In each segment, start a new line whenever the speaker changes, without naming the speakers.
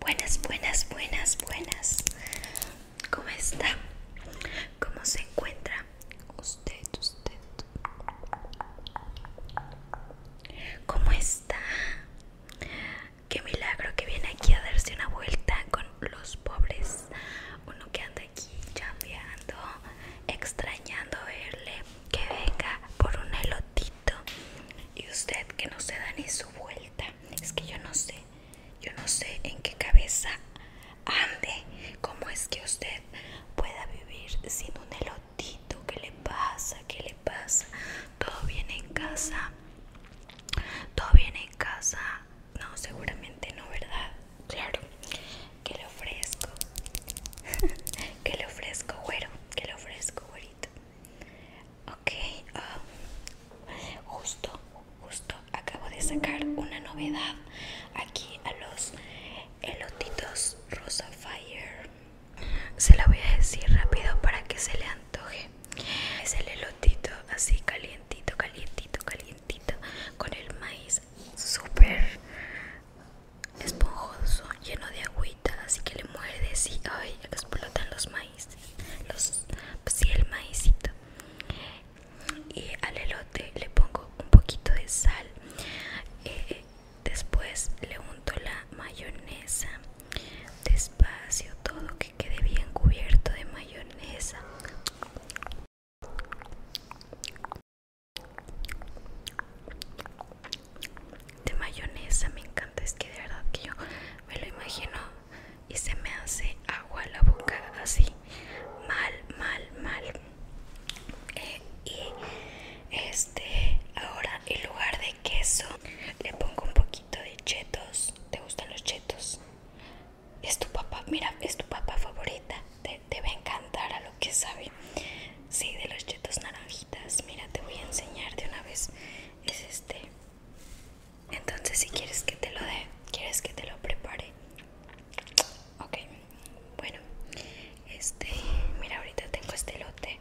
Buenas, buenas, buenas, buenas. ¿Cómo está? ¿Cómo se encuentra usted, usted? ¿Cómo está? Qué milagro que viene aquí a darse una vuelta con los pobres. Uno que anda aquí chambeando, extrañando verle, que venga por un elotita y usted que no se da ni su vuelta es que yo no sé yo no sé en qué cabeza ande cómo es que usted pueda vivir sin un elotito qué le pasa qué le pasa todo viene en casa todo viene en casa no seguramente no verdad claro que le ofrezco que le ofrezco güero que le ofrezco güerito Ok, ah, justo, justo acabo de sacar una novedad aquí a los elotitos Rosa Fire. Se la voy a decir rápido para que se le antoje. Es el elotito así calientito, calientito, calientito, con el maíz súper esponjoso, lleno de agua así que le muerde y ay, explotan los maíces los, pues el maízito Y al elote le pongo un poquito de sal. Eh, después le unto la mayonesa. Despacio, todo que quede bien cubierto de mayonesa de mayonesa me encanta es que de verdad que yo me lo imagino y se me hace agua la boca así mal mal mal eh, y este ahora en lugar de queso le pongo un poquito de chetos te gustan los chetos es tu papá mira es tu papá favorita te, va a encantar a lo que sabe sí de los chetos naranja mira te voy a enseñar de una vez es este entonces si quieres que te lo dé quieres que te lo prepare ok bueno este mira ahorita tengo este lote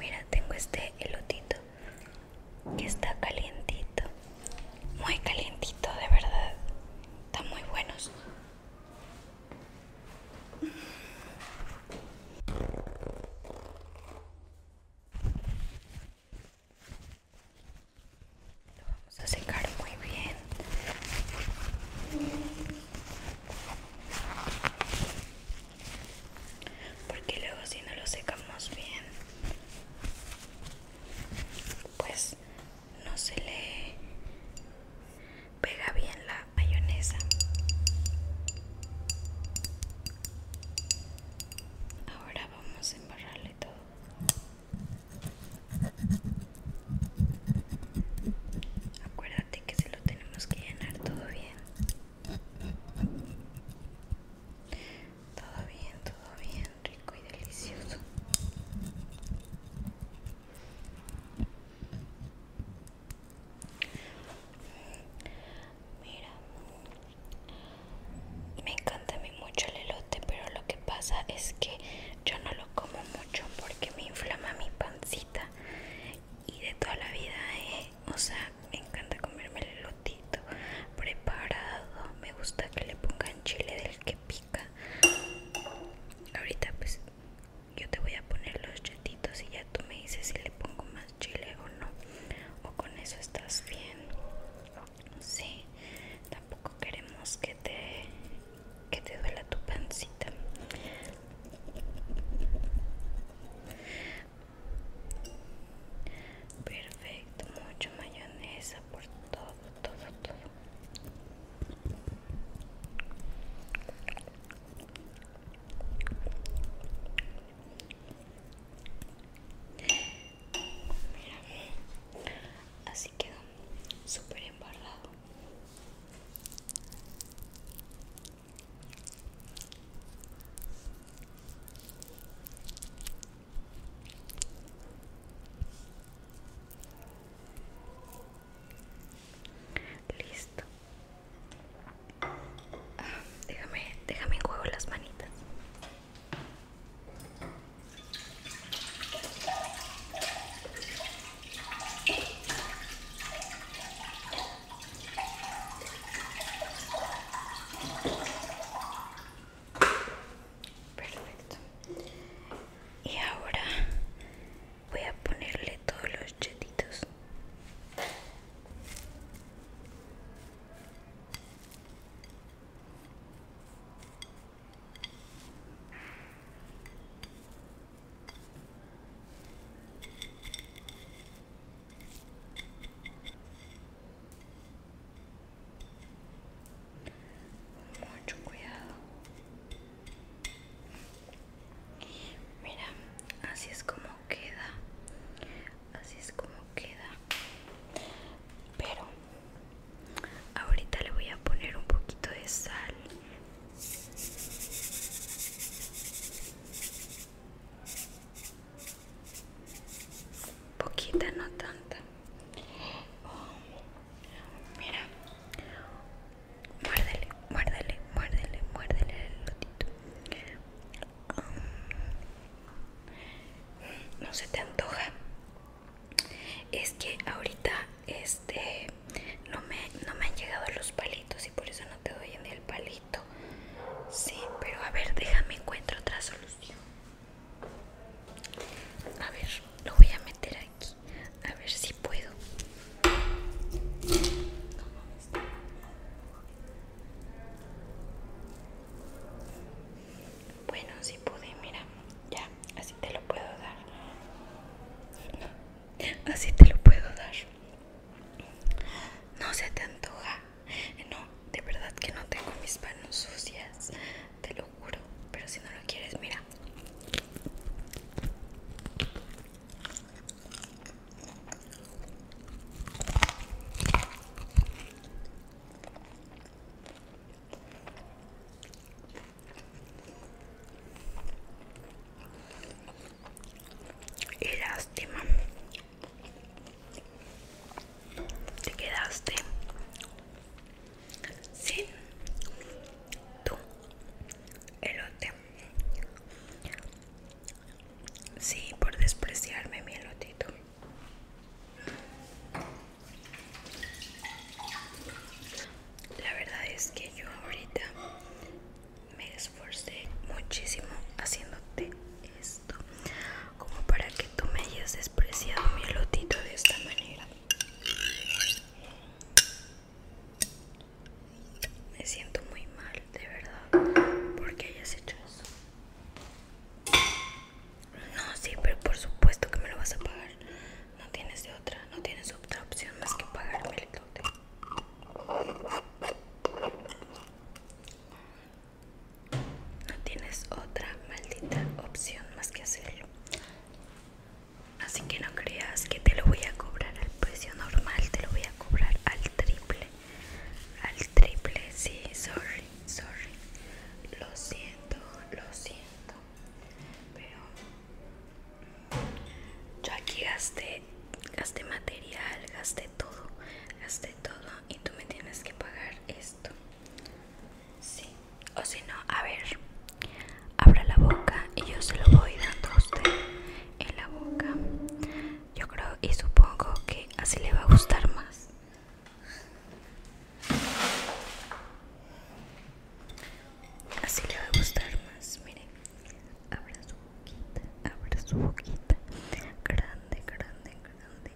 Mira, tengo este elotito que está calientito, muy calientito de verdad, están muy buenos. Lo vamos a secar muy bien. Porque luego si no lo secamos bien, pues no se le pega bien la mayonesa ahora vamos a embarrarle todo acuérdate que se lo tenemos que llenar todo bien todo bien, todo bien, rico y delicioso. Mira, me encanta a mí mucho el elote, pero lo que pasa es que yo no lo como mucho porque me inflama mi pancita y de toda la vida ¿eh? o sea, me encanta comerme el lotito preparado. Me gusta que le pongan chile del que pica. Ahorita pues yo te voy a poner los chetitos y ya tú me dices si le pongo más chile o no. O con eso estás bien. sé, tampoco queremos que te que te duela tu pancita perfecto mucho mayonesa por todo todo todo Mira, así quedó súper embarrado. Listo. Ah, déjame, déjame en juego las manitas. Perfecto. Y ahora voy a ponerle todos los chetitos mucho cuidado mira así es como queda así es como queda pero ahorita le voy a poner un poquito de sal Poquita, no tanta. mira, muérdele, muérdele, muérdele, muérdele el lotito. Mm, no se te antoja. Es que ahorita este no me, no me han llegado los palitos y por eso no te doy en el palito sí pero a ver déjame encuentro otra solución a ver lo voy a meter aquí a ver si puedo bueno si pude mira ya así te lo puedo dar así te lo puedo dar. No se te antoja. No, de verdad que no tengo mis manos sucias. Te lo juro. Pero si no lo quieres, mira. Y lástima. Te quedaste sí tu elote. Sí, por despreciarme mi elotito la verdad es que yo ahorita me esforcé muchísimo haciéndote esto como para que tú me hayas despreciado mi lotito de esta manera me siento muy mal de verdad porque hayas hecho eso no sí pero por supuesto que me lo vas a pagar no tienes otra, no tienes otra opción más que pagar el dote. No tienes otra maldita opción más que hacerlo. Así que no creas que te lo voy a cobrar al precio normal, te lo voy a cobrar al triple. Al triple, sí, sorry, sorry. Lo siento, lo siento pero yo aquí gasté gasté material gasté todo gasté todo y tú me tienes que pagar esto sí o si no a ver abra la boca y yo se lo voy dando a usted en la boca yo creo y supongo que así le va a gustar más Así le va a gustar más, mire. Abra su boquita, abra su boquita. Grande, grande, grande.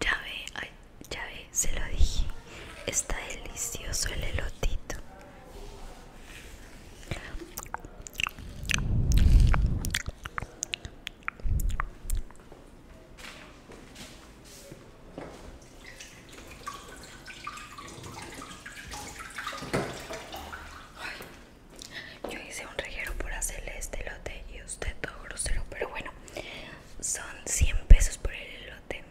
Ya ve, ay, ya ve, se lo dije. Está delicioso el elotito yo hice un reguero por hacerle este elote y usted todo grosero, pero bueno, son 100 pesos por el elote.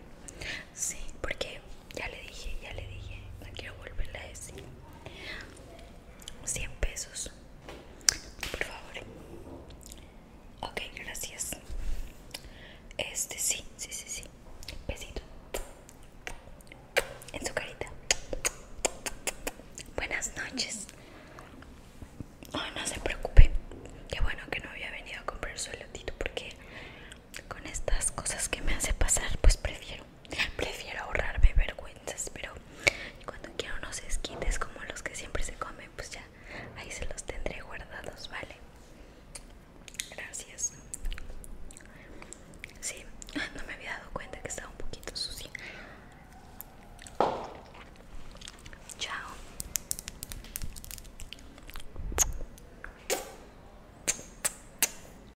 Sí, porque ya le dije, ya le dije, no quiero volverla a decir. 100 pesos por favor ok gracias este sí sí sí sí besito en su carita buenas noches no se preocupe qué bueno que no había venido a comprar suelotito porque con estas cosas que me hace pasar pues prefiero Prefiero ahorrarme vergüenzas, pero cuando quiero unos esquites como los que siempre se comen, pues ya ahí se los tendré guardados, ¿vale? Gracias. Sí, no me había dado cuenta que estaba un poquito sucia. Chao.